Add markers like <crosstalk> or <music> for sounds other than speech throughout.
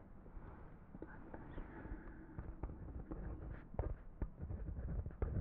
blood pressure, pulse 98, circulation, temperature,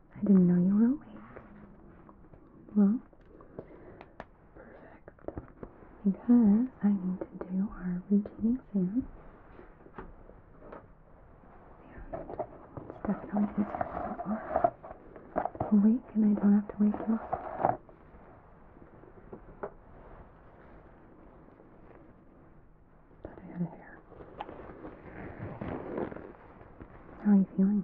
I didn't know you were awake. Well, perfect. Because I need to do our routine exam. And it's definitely easier when you are awake and I don't have to wake you up. But I had a hair. How are you feeling?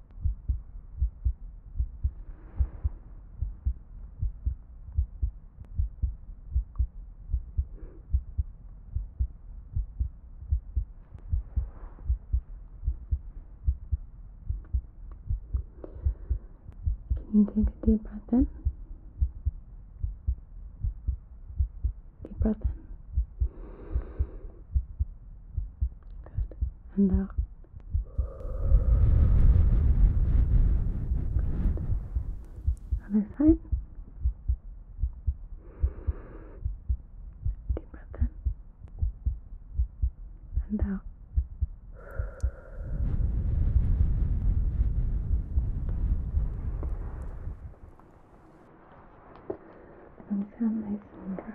Can you take a deep breath in? Deep breath in. Good. And out. Other side. Deep breath in. And out and found nice and dry.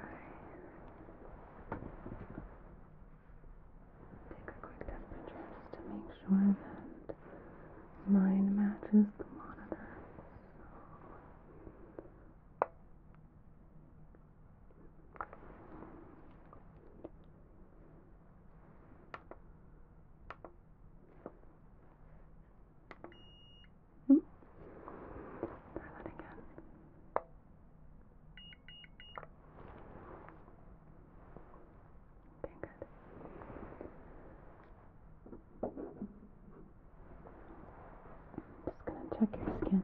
Take a quick temperature just to make sure that mine matches the monitor. So. Oops. Try that again. Okay, good. I'm just going to check your skin.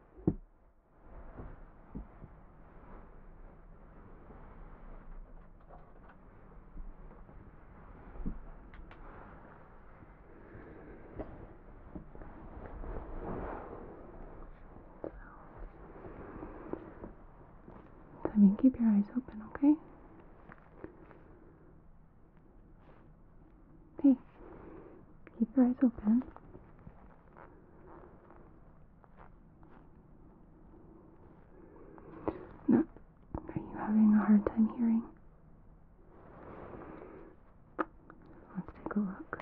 I mean, keep your eyes open, okay? Okay, keep your eyes open. No, are you having a hard time hearing? Let's take a look.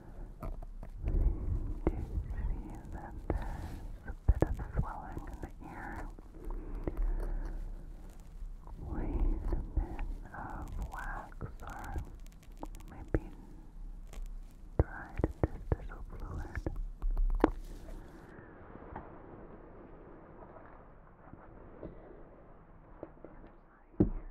do see that there's a bit of swelling in the ear with a bit of wax or maybe dried interstitial fluid. Here.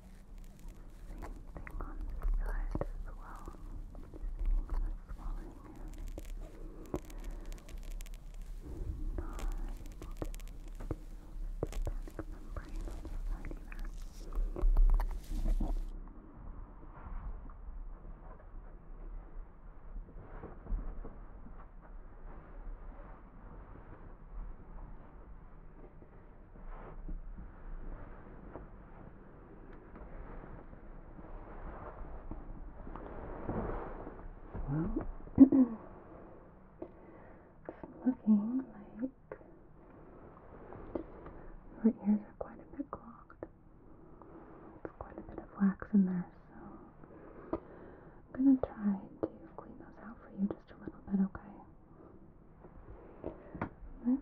Anything on this side as well. Seeing the swelling and not able to see the panic membrane on this side either. Okay, well, it's looking like her ears are quite a bit clogged. There's quite a bit of wax in there, so I'm gonna try to clean those out for you just a little bit, okay? Let's grab Okay,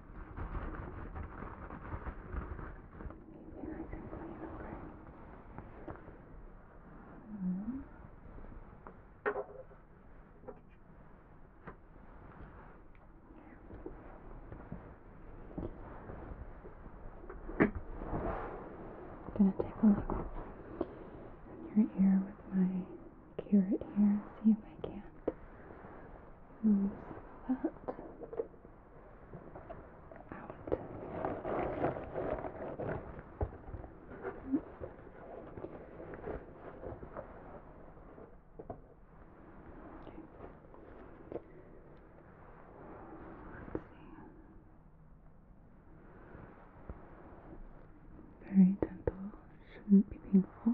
I'm going to take a look on your ear with my cure it here, see if I can't move that out. Very gentle, shouldn't be painful.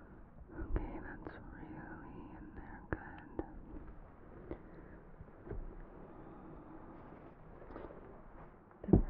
Okay, that's really in there. Good. The brown is on the other side. Oh, the other side.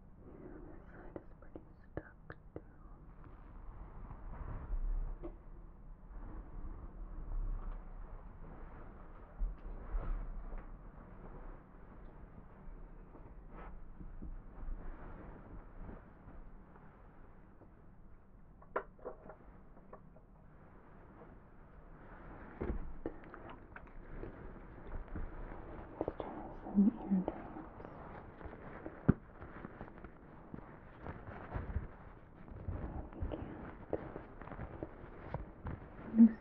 The other side is pretty stuck too. Let's try some eardrops. We can't loosen some of that up. Okay.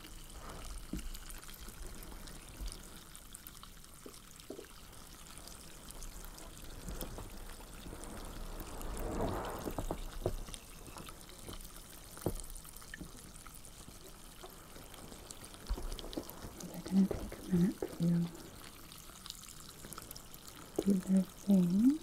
They're going to take a minute to do their thing.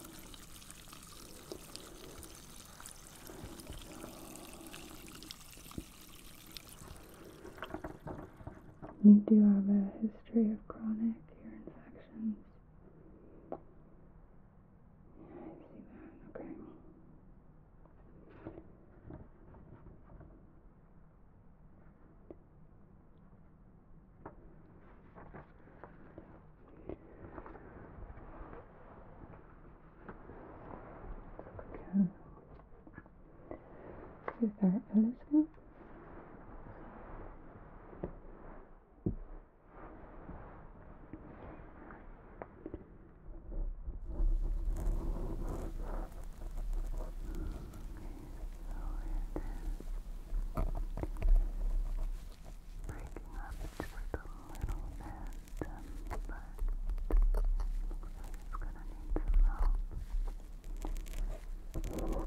You do have a history of chronic ear infections. Yeah, I see that. Okay. Con with our otoscope. Breaking up just a little bit but it's gonna need some help. Uh,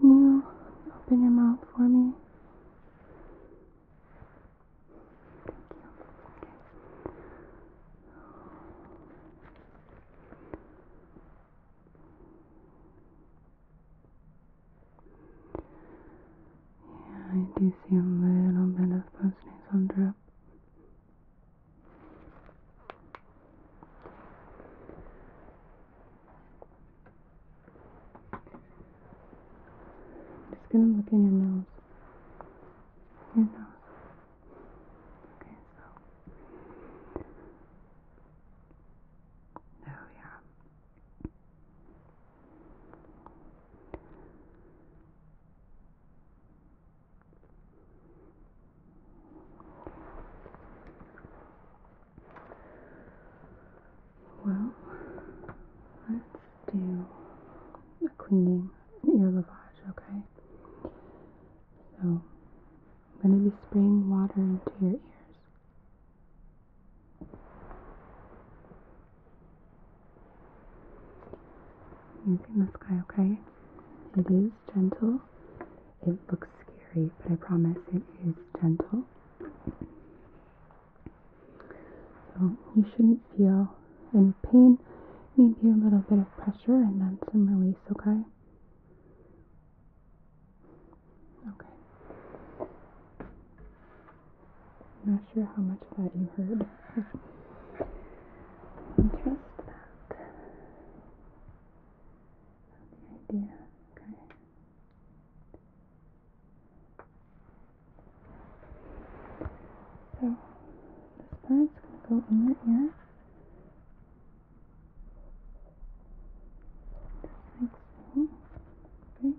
Can you open your mouth for me? Thank you. Okay. Yeah, I do see a little bit of post nasal drip. I'm just gonna look in your nose. Your nose. Okay, so there we are. Well, let's do a cleaning, an ear lavage, okay? So, I'm going to be spraying water into your ears. Using the sky, okay? It is gentle. It looks scary, but I promise it is gentle. So you shouldn't feel any pain, maybe a little bit of pressure and then some release, okay? Okay not sure how much of that you heard. <laughs> Okay. So this part's gonna go in your ear. Just like so. Okay.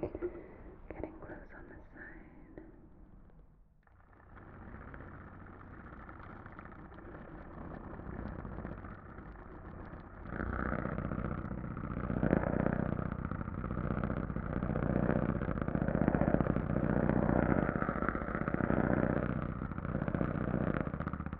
Getting close on this side. Getting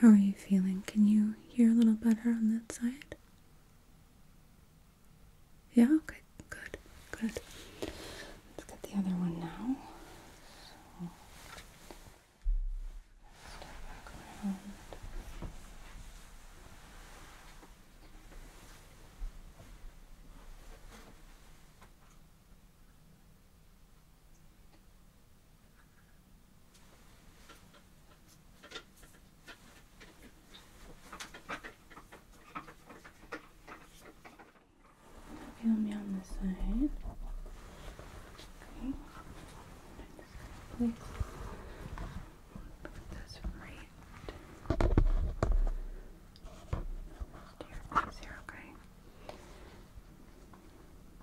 How are you feeling? Can you hear a little better on that side? Yeah, okay, good, good. Let's get the other one now. Feel me on the side. Okay. Place. Put this right here, okay?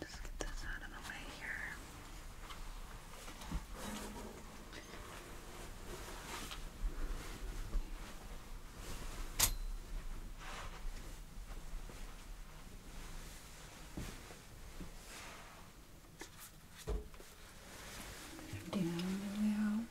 Just get this out of the way here. Down and out.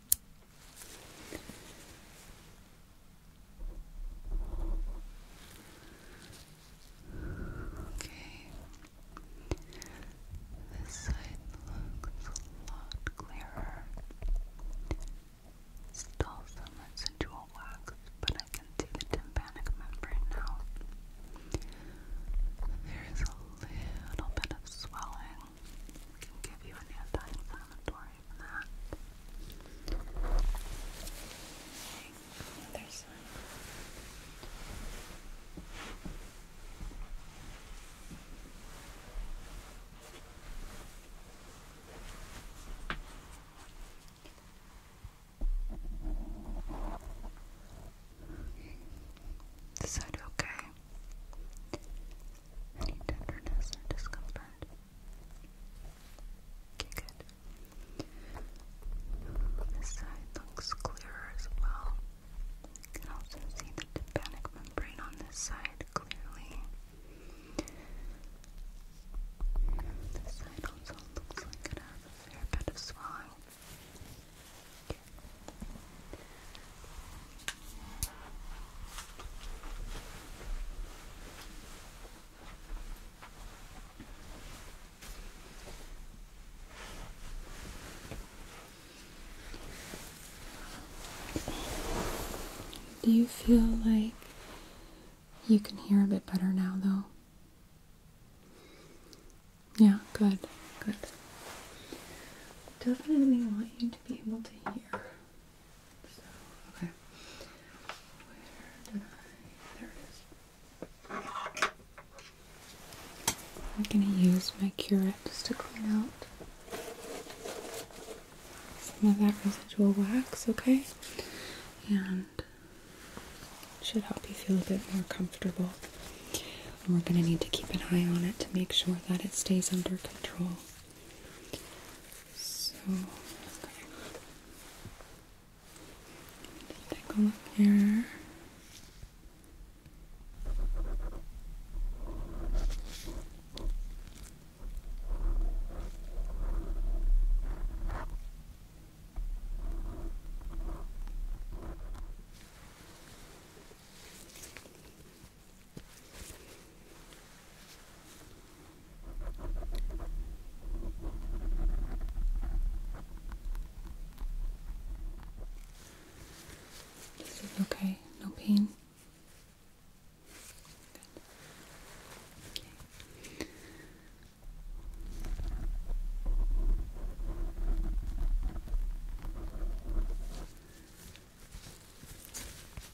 Okay. This side looks a lot clearer. Still some residual wax, but I can see the tympanic membrane now. There's a little bit of swelling we can give you an anti-inflammatory for that. okay. Any tenderness or discomfort? Okay, good. This side looks clearer as well. You can also see the tympanic membrane on this side clearly. This side also looks like it has a fair bit of swelling. Do you feel like you can hear a bit better now, though? Yeah, good, good. Definitely want you to be able to hear. I? is. I'm going to use my curette just to clean out some of that residual wax, okay? And it should help you feel a bit more comfortable. And we're going to need to keep an eye on it to make sure that it stays under control. So take a look here. This is okay, no pain.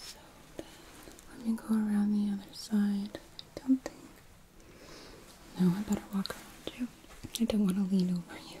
So then let me go around the other side. I don't think no, I better walk around you. I don't want to lean over you. Okay.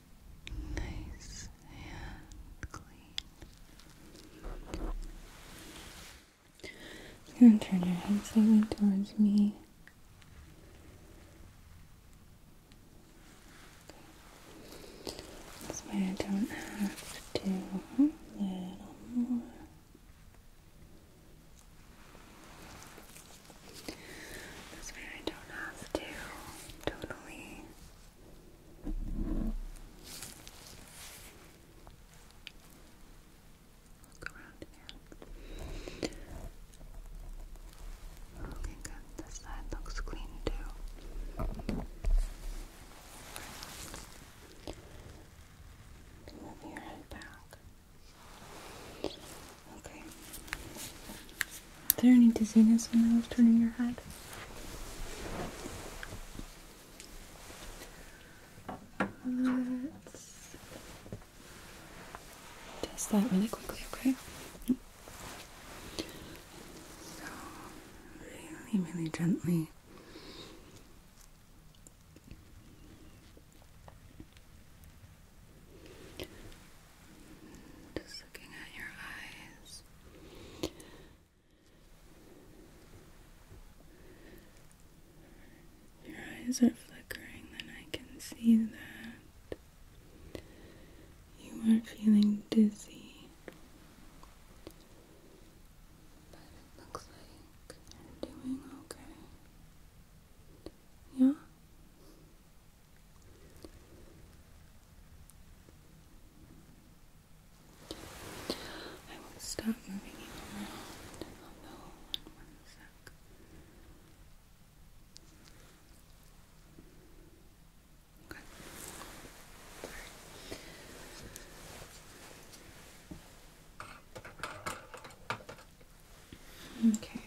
nice and clean. you turn your head slightly towards me. Okay. This way I don't have to a little more. This way I don't have to totally Look around Okay, good. This side looks clean too. Move your head back. Okay. Is there any dizziness when I was turning your head? Let's test that really quickly, okay? So, really, really gently. Just looking at your eyes. Your eyes are flickering, then I can see that. You are feeling dizzy. But it looks like you're doing okay. Yeah? I will stop moving you around, although in one sec. Okay.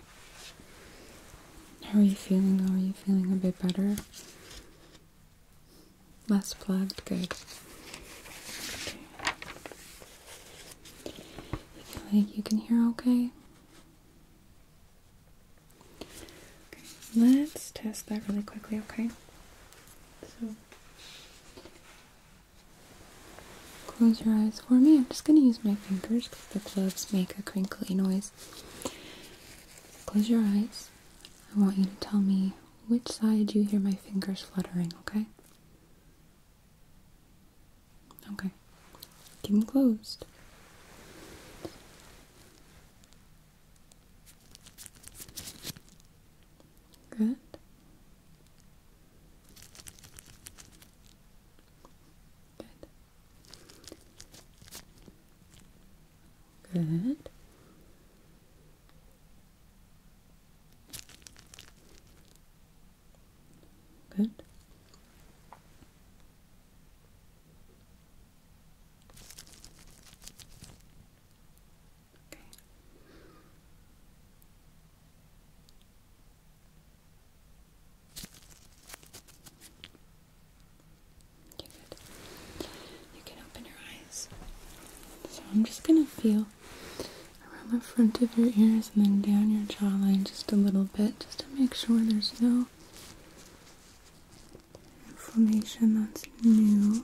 How are you feeling? Are you feeling a bit better? Less plugged, good. Okay. You like you can hear okay? let's test that really quickly, okay? close your eyes for me. I'm just going to use my fingers because the gloves make a crinkly noise. Close your eyes. I want you to tell me which side you hear my fingers fluttering, okay? Okay. Keep them closed. Good. Good. Good. Good. Okay you good. You can open your eyes. So I'm just gonna feel around the front of your ears and then down your jawline just a little bit, just to make sure there's no inflammation that's new.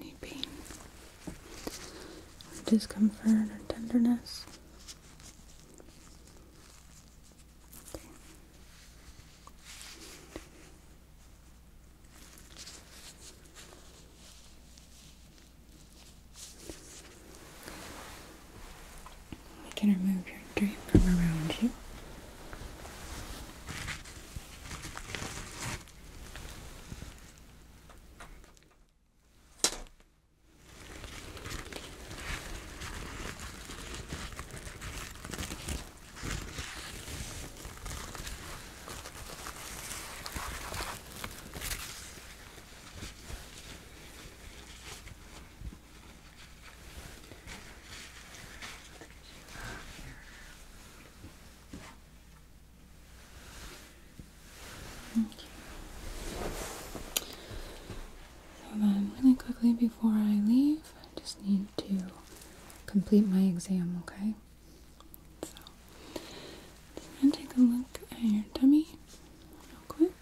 Any pain discomfort or tenderness? We can remove your dream from around you. Okay. So then, really quickly before I leave, I just need to complete my exam, okay? So, just going take a look at your tummy real quick.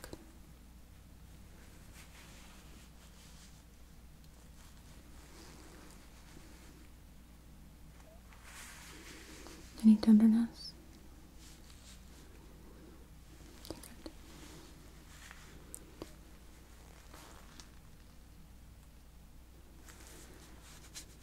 Any tenderness? Okay,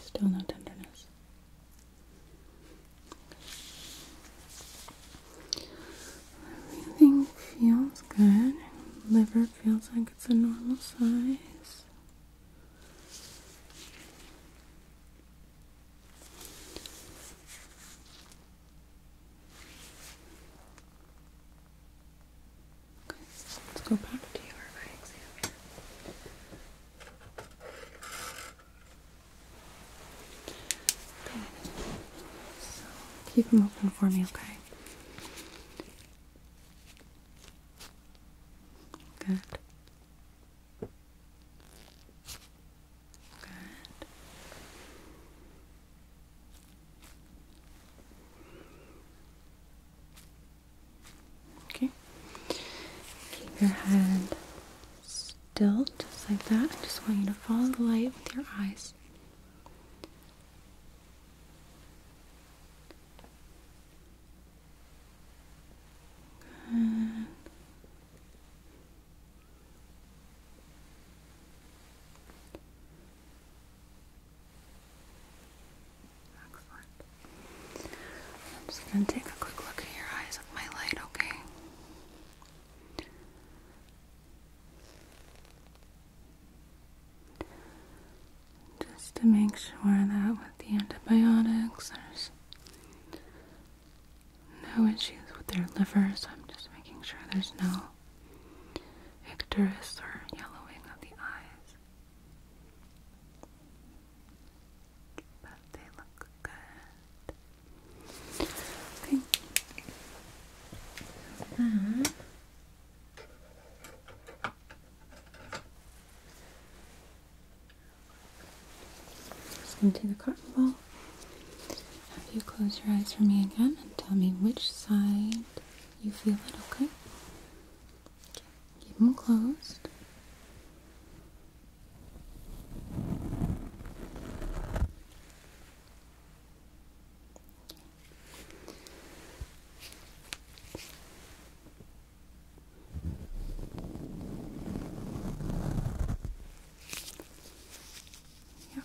Still no tenderness. Everything feels good. Liver feels like it's a normal size let's go back keep them open for me, okay? Good. Good. Okay. Keep your head still, just like that. I just want you to follow the light with your eyes. Good. I'm just going to take a quick look at your eyes with my light, okay? Just to make sure that with the antibiotics, there's no issues with their liver, so I'm just making sure there's no pale. Icterus or yellowing of the eyes. But they look good. Okay. Then just gonna take a cotton ball have you close your eyes for me again and tell me which side you feel it, okay? okay. Keep them closed. Yep.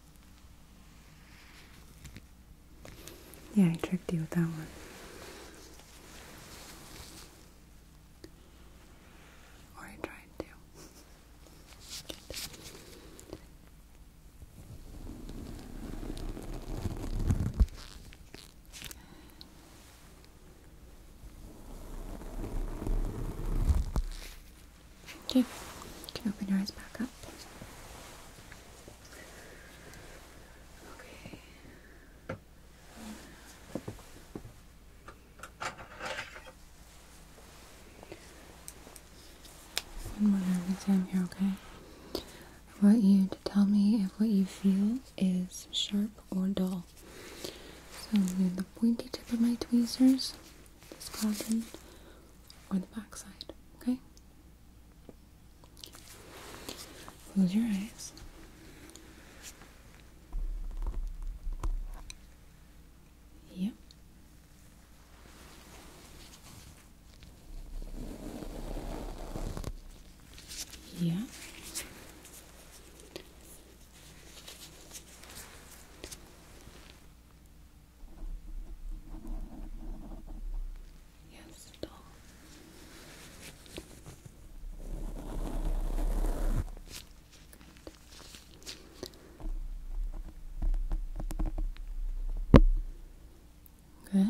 Yeah, I tricked you with that one. Or I tried to. Okay, you can open your eyes back up. Okay. One more nervous here, okay? I want you to tell me if what you feel is sharp or dull. So the pointy tip of my tweezers, this cotton, or the back side, okay? Close your eyes. Yep. Yeah. Yes, doll. Good.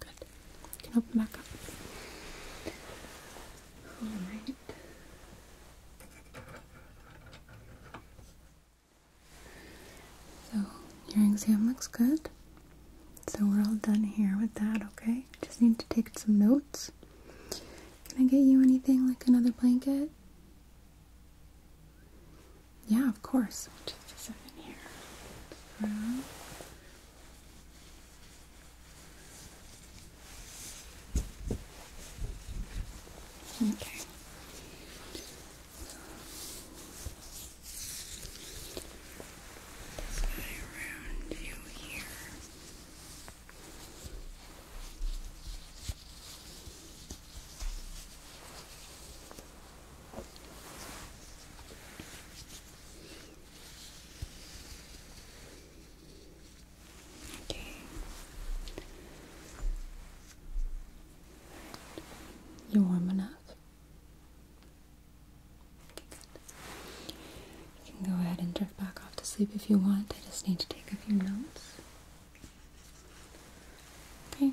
Good. You can open back up. Alright. So, your exam looks good. So, we're all done here with that, okay? Just need to take some notes. Can I get you anything like another blanket? Yeah, of course. Just a second here. Okay. This guy around you here. You're warm enough. You can go ahead and drift back off to sleep if you want. I just need to take a few notes. Okay.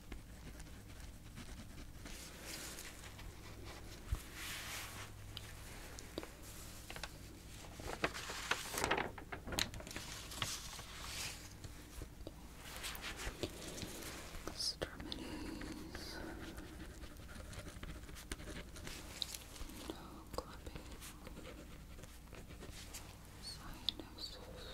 Extremities. No clipping. Cyanosis.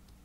Foundation.